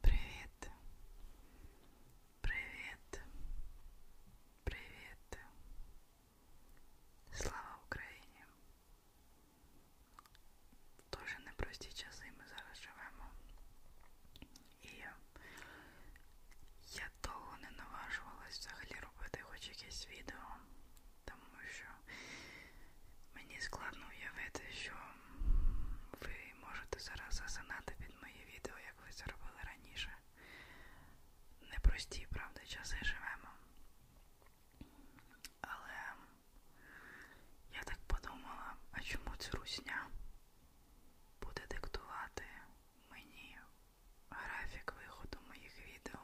Привіт. Привіт. Привіт. Слава Україні. Дуже непрості часи ми зараз живемо. І я довго не наважувалась взагалі робити хоч якесь відео, тому що мені складно уявити, що ви можете зараз засинати під мої відео, як ви це робили раніше. Непрості, правда, часи живемо. Але я так подумала, а чому ця русня буде диктувати мені графік виходу моїх відео?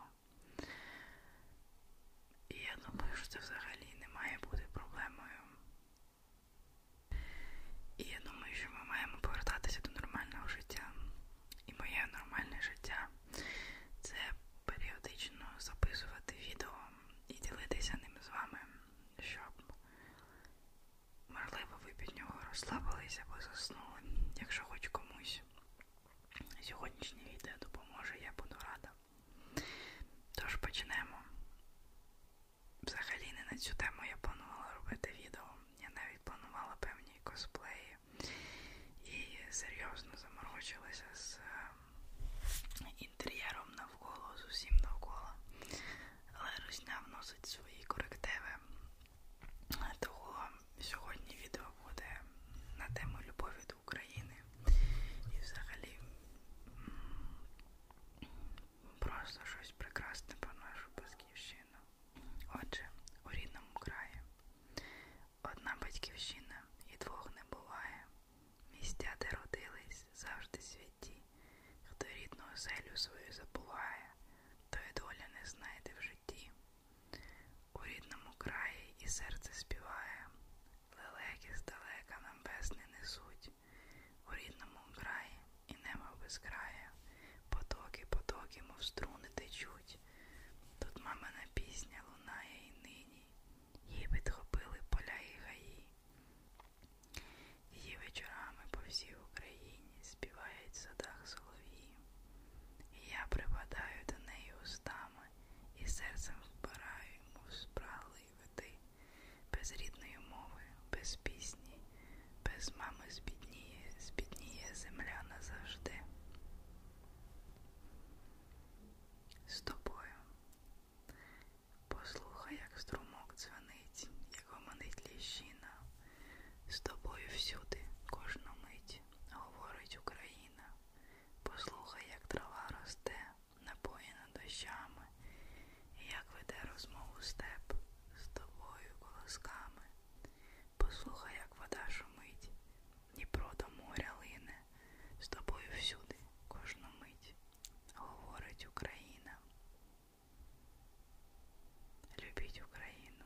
І я думаю, що це взагалі не має бути проблемою. І я думаю, що ми маємо повертатися до нормального життя. І моє нормальне життя це періодично записувати відео і ділитися ним з вами, щоб, можливо, ви під нього розслабилися або заснули, якщо хоч комусь. Сьогоднішнє відео допоможе, я буду рада. Тож почнемо. Взагалі не на цю тему я планувала робити відео. Я навіть планувала певні косплеї і серйозно заморочилася з е, інтер'єром навколо, з усім навколо. Але русня вносить свої корективи. Того сьогодні відео буде на тему любові до України. І взагалі просто щось прекрасне про нашу батьківщину. Отже, у рідному краї одна батьківщина і двох не буває. Містя, де родились, завжди святі, хто рідну оселю свою забуває, то й доля не знайде в житті. У рідному краї і серце співає, лелеки здалека нам весни несуть у рідному краї і небо без краю, потоки, потоки, мов струни течуть. Тут мамина пісня лунає і нині, її відхопили поля і гаї. Її вечорами по всій Україні співають в садах солов'ї. І я припадаю до неї устами і серцем вбираю, мов спрали види, без рідної мови, без пісні, без мами збідніє, збідніє земля назавжди. З тобою. Послухай, як струмок дзвонить, як гомонить ліщина. З тобою всюди, кожну мить, говорить Україна. Послухай, як трава росте, напоєна дощами, і як веде розмову степ з тобою колосками. Послухай, як вода шумить, Дніпро до моря лине, з тобою всюди кожну мить, говорить Україна. Любіть Україну,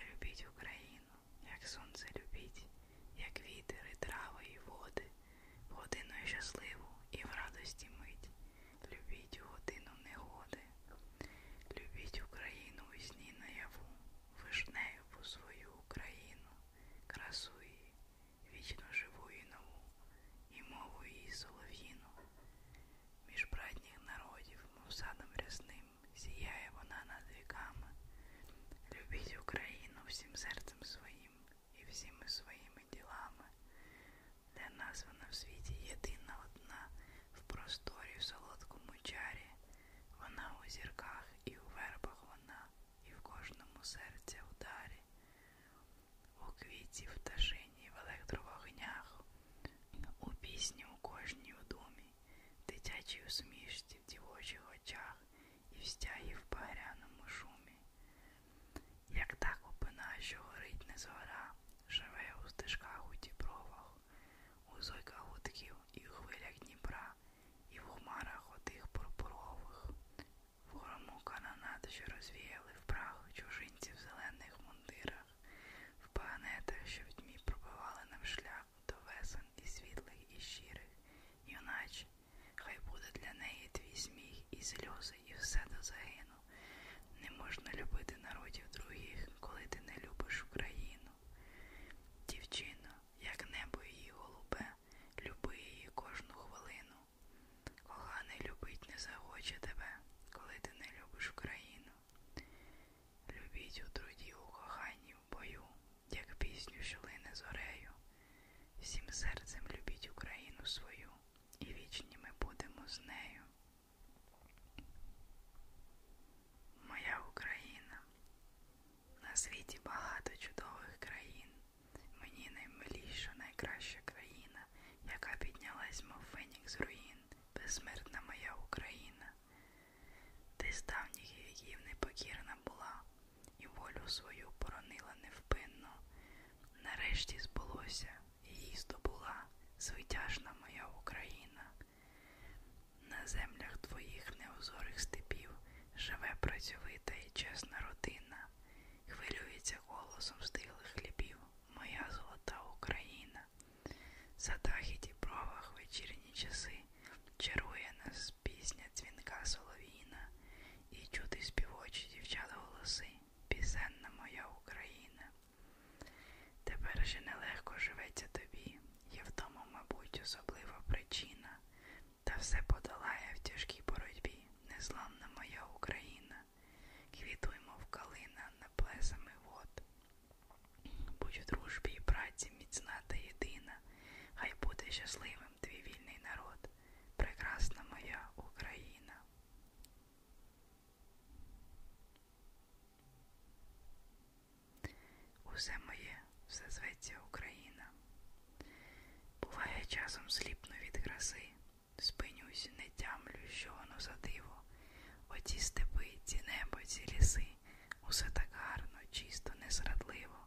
любіть Україну, як сонце любіть, як вітер і трави і води в годину щасливу і в радості мить. Любіть у годину негоди, любіть Україну у сні наяву, вишнею по свою Україну, красу її, вічно живу і нову, і мову її солов'їну. Між братніх народів, мов садом рясним, сіяє вона над віками. Любіть Україну всім серцем своїм, і всіми своїми ділами, де названа в світі єдина одна в просторі, в солодкому чарі, вона у зірках і у вербах вона, і в кожному серця ударі, у квіті, в ташині, в електровогнях, у пісні, у кожній у думі, дитячій усмішці в дівочих очах, і в стягі в багряному шумі. Як та купина, що горить не згора, живе у стежках у дібровах, у зойках гудків і у хвилях Дніпра, і в хмарах отих пурпурових, в грому канонат, що розвіяли в прах чужинців в зелених мундирах, в панетах, що в тьмі пробивали нам шлях до весен і світлих, і щирих, юначе Хай буде для неї твій сміх і сльози, і все до загину. Не можна любити народів других, коли ти не любиш Україну. Дівчино, як небо її голубе, люби її кожну хвилину. Коханий любить не захоче тебе, коли ти не любиш Україну. Любіть у труді, у коханні, в бою, як пісню, що лине зорею. Всім серцем любіть Україну свою і вічні ми будемо з нею. Моя Україна. На світі багато чудових країн. Мені наймиліша, найкраща країна, яка піднялась, мов фенік з руїн, безсмертна моя Україна. Ти з давніх віків непокірна була, і волю свою поронила невпинно. Нарешті збулося, її здобула звитяжна моя Україна. На землях твоїх неозорих степів живе працьовита і чесна родина, хвилюється голосом стилих хлібів, моя золота Україна. За дахіті провах вечірні часи чарує нас пісня дзвінка солов'їна, і чути співочі дівчат голоси пісенна моя Україна. Тепер же нелегко живеться тобі, є в тому, мабуть, особлива причина, та все подолає в тяжкій боротьбі, незламна моя Україна, квітуймо в калина на плесами вод. Будь у дружбі і праці міцна та єдина, хай буде щасливим твій вільний народ, прекрасна моя Україна. Усе моє, все зветься Україна. Буває часом сліпно від краси, спинюсь, не тямлю, що воно за диво. Оці степи, ці небо, ці ліси, усе так гарно, чисто, незрадливо,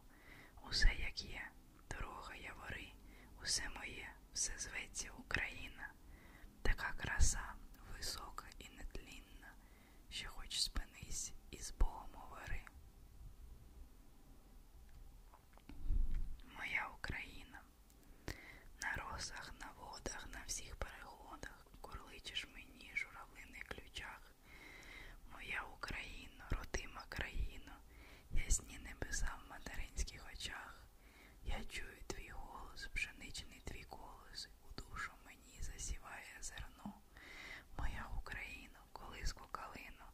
усе як є дорога явори, усе моє, все зветься Україна, така краса висока і нетлінна, що хоч спинись і з Богом говори. Моя Україна, на росах, на водах, на всіх переходах, курличиш мені, журавлиних ключах, моя Україна, родима країна, ясні небеса в материнських очах. Я чую твій голос, пшеничний твій голос, у душу мені засіває зерно. Моя Україно, колиску калину,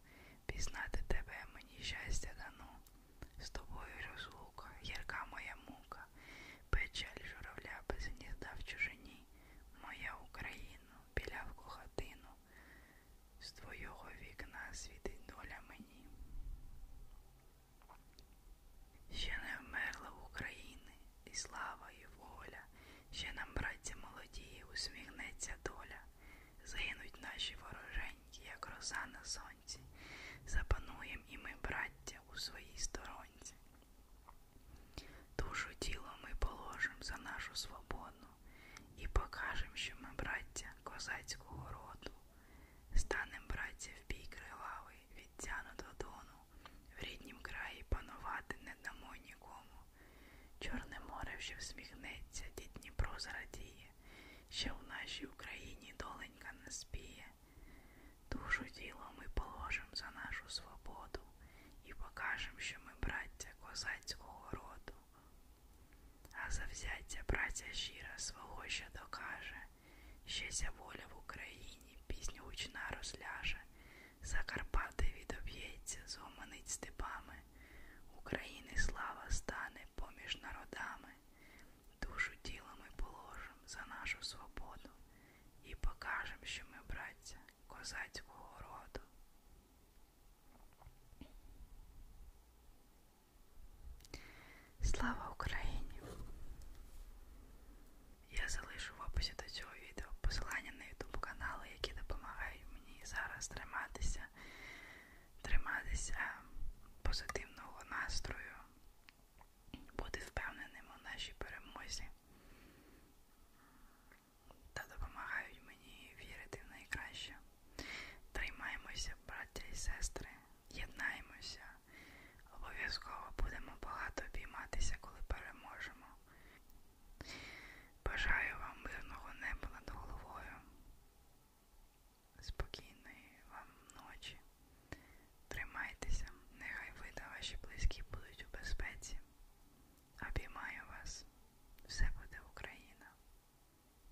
пізнати тебе мені щастя дано. З тобою розлука, гірка моя мука, печаль журавля без гнізда в чужині, моя Україно, білявку хатину, з твого вікна світить доля мені. Ще не вмерла України і слава, і воля, ще нам, браття молодії, усміхнеться доля, загинуть наші вороженьки, як роза на сонці, запануєм і ми, браття, у своїй сторонці. Душу тіло ми положим за нашу свободу і покажем, що ми, браття, козацького роду. Станем, братці, в бій кривавий, відтяну до дону, в ріднім краї панувати не дамо нікому. Чорне море вже всміхнеться, дід Дніпро зрадіє, ще в нашій Україні доленька не спіє. Душу діло ми положим за нашу свободу і покажем, що ми, браття козацького роду. А завзяття праця щира свого ще докаже, щеся воля в Україні, пісню гучна розляже, Закарпати відоб'ється, зуманить степами, України слава стане поміж народами, душу тіло ми положим за нашу свободу і покажем, що ми, браття, козацького роду. Слава Україні! Я залишу в описі до цього відео посилання на YouTube канали, які допомагають мені зараз триматися, триматися е, позитивного настрою, бути впевненим у нашій перемозі та допомагають мені вірити в найкраще. Тримаємося, браття і сестри, єднаємося. Обов'язково будемо багато обійматися, коли переможемо. Бажаю вам мирного неба над головою. Спокійної вам ночі. Тримайтеся, нехай ви та ваші близькі будуть у безпеці. Обіймаю вас. Все буде Україна.